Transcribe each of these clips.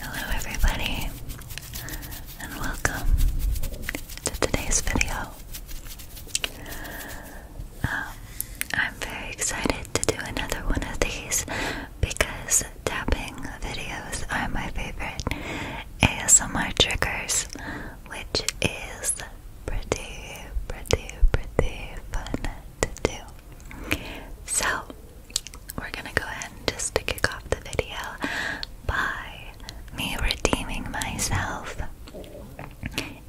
Hello, everybody, and welcome to today's video. Um, I'm very excited to do another one of these because tapping videos are my favorite ASMR triggers, which is pretty, pretty, pretty fun to do. So, we're gonna go ahead and just to kick off the video by me redeeming myself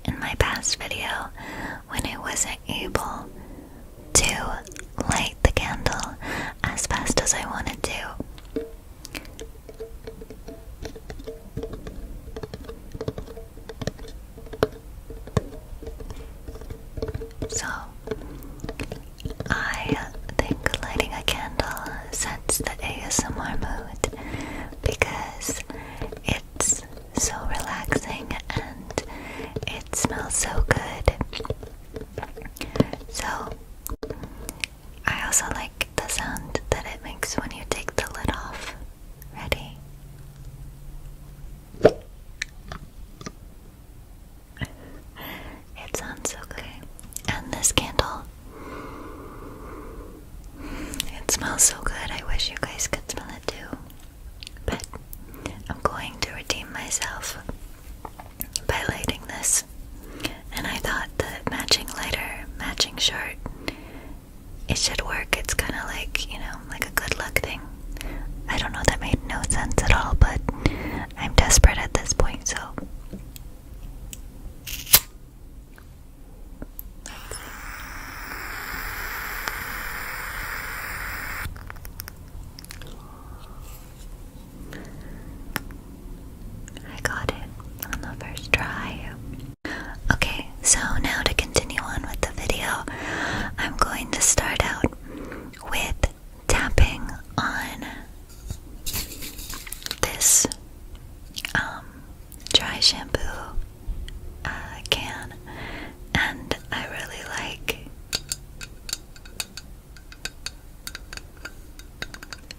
in my past video when I wasn't able to light the candle as fast as I wanted to. So, I think lighting a candle sets the ASMR mood because it's so relaxing and it smells so good. So, I also like the sound that it makes when you take the lid off. Ready? it sounds so good. And this candle, it smells so good. I wish you guys could smell it too. But I'm going to redeem myself by lighting this. And I thought the matching lighter, matching shirt, it should work. It's kind of like, you know, like a good luck thing. I don't know, that made no sense at all, but I'm desperate at this point, so. I got it on the first try. Okay, so now to continue on with the video, I'm going to start out with tapping on this um, dry shampoo uh, can, and I really like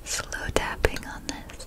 slow tapping on this.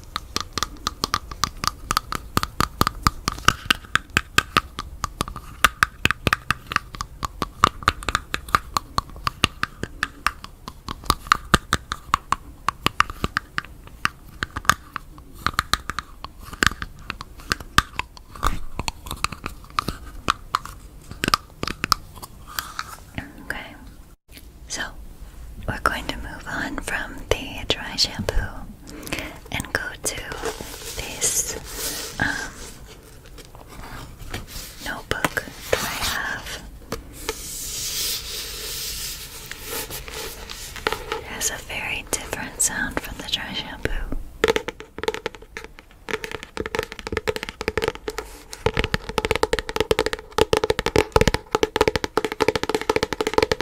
Okay, so we're going to move on from the dry shampoo and go to this um, notebook that I have. It has a very different sound from the dry shampoo.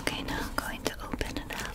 Okay, now I'm going to open it up.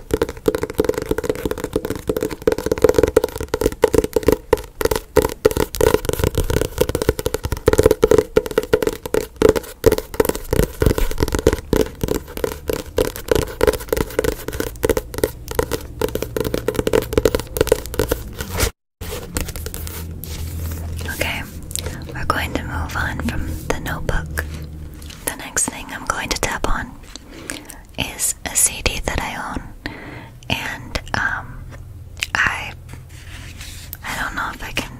Okay, we're going to move on from the notebook. The next thing I'm going to tap on is a CD that I own, and um, I I don't know if I can.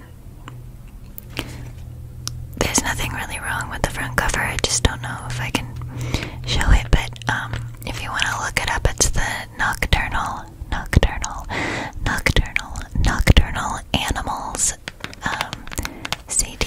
There's nothing really wrong with the front cover. I just don't know if I can show it. But um, if you want to look it up, it's the Nocturnal, Nocturnal, Nocturnal, Nocturnal Animals um, CD.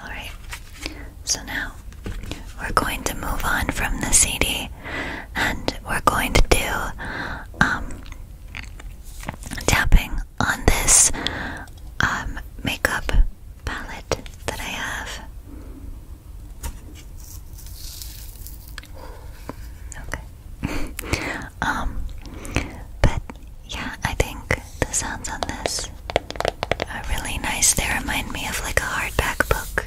All right. So now we're going to move on from the CD and we're going to do um, tapping on this um, makeup palette that I have. Okay. um, but yeah, I think the sounds on this are really nice. They remind me of like a hardback book.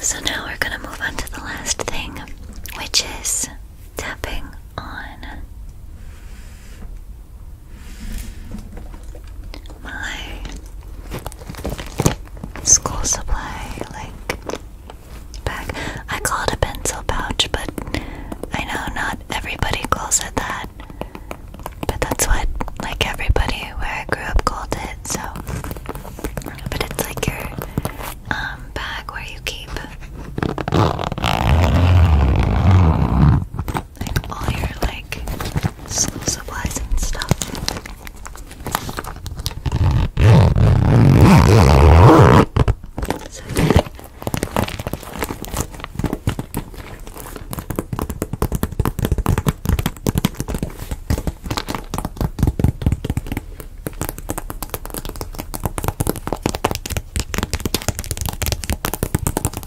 So now we're going to move on to the last thing, which is tapping on my school supply like bag. I call it a pencil pouch, but I know not everybody calls it that. But that's what like everybody where I grew up called it. So, but it's like your um, bag where you keep and all your like school supplies and stuff.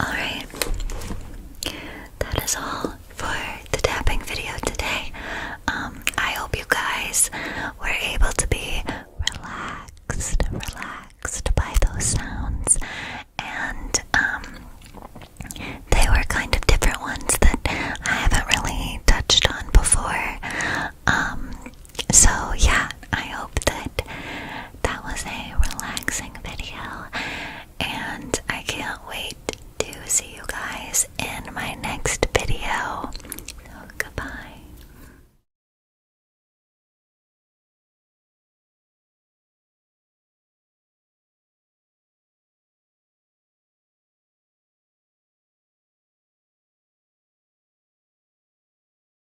Alright, that is all for the tapping video today. Um, I hope you guys were able to be relaxed, relaxed by those sounds, and um, they were kind of different ones that I haven't really touched on before. Um, so, yeah, I hope that that was a relaxing video, and I can't wait to see you guys in my next video. goodbye.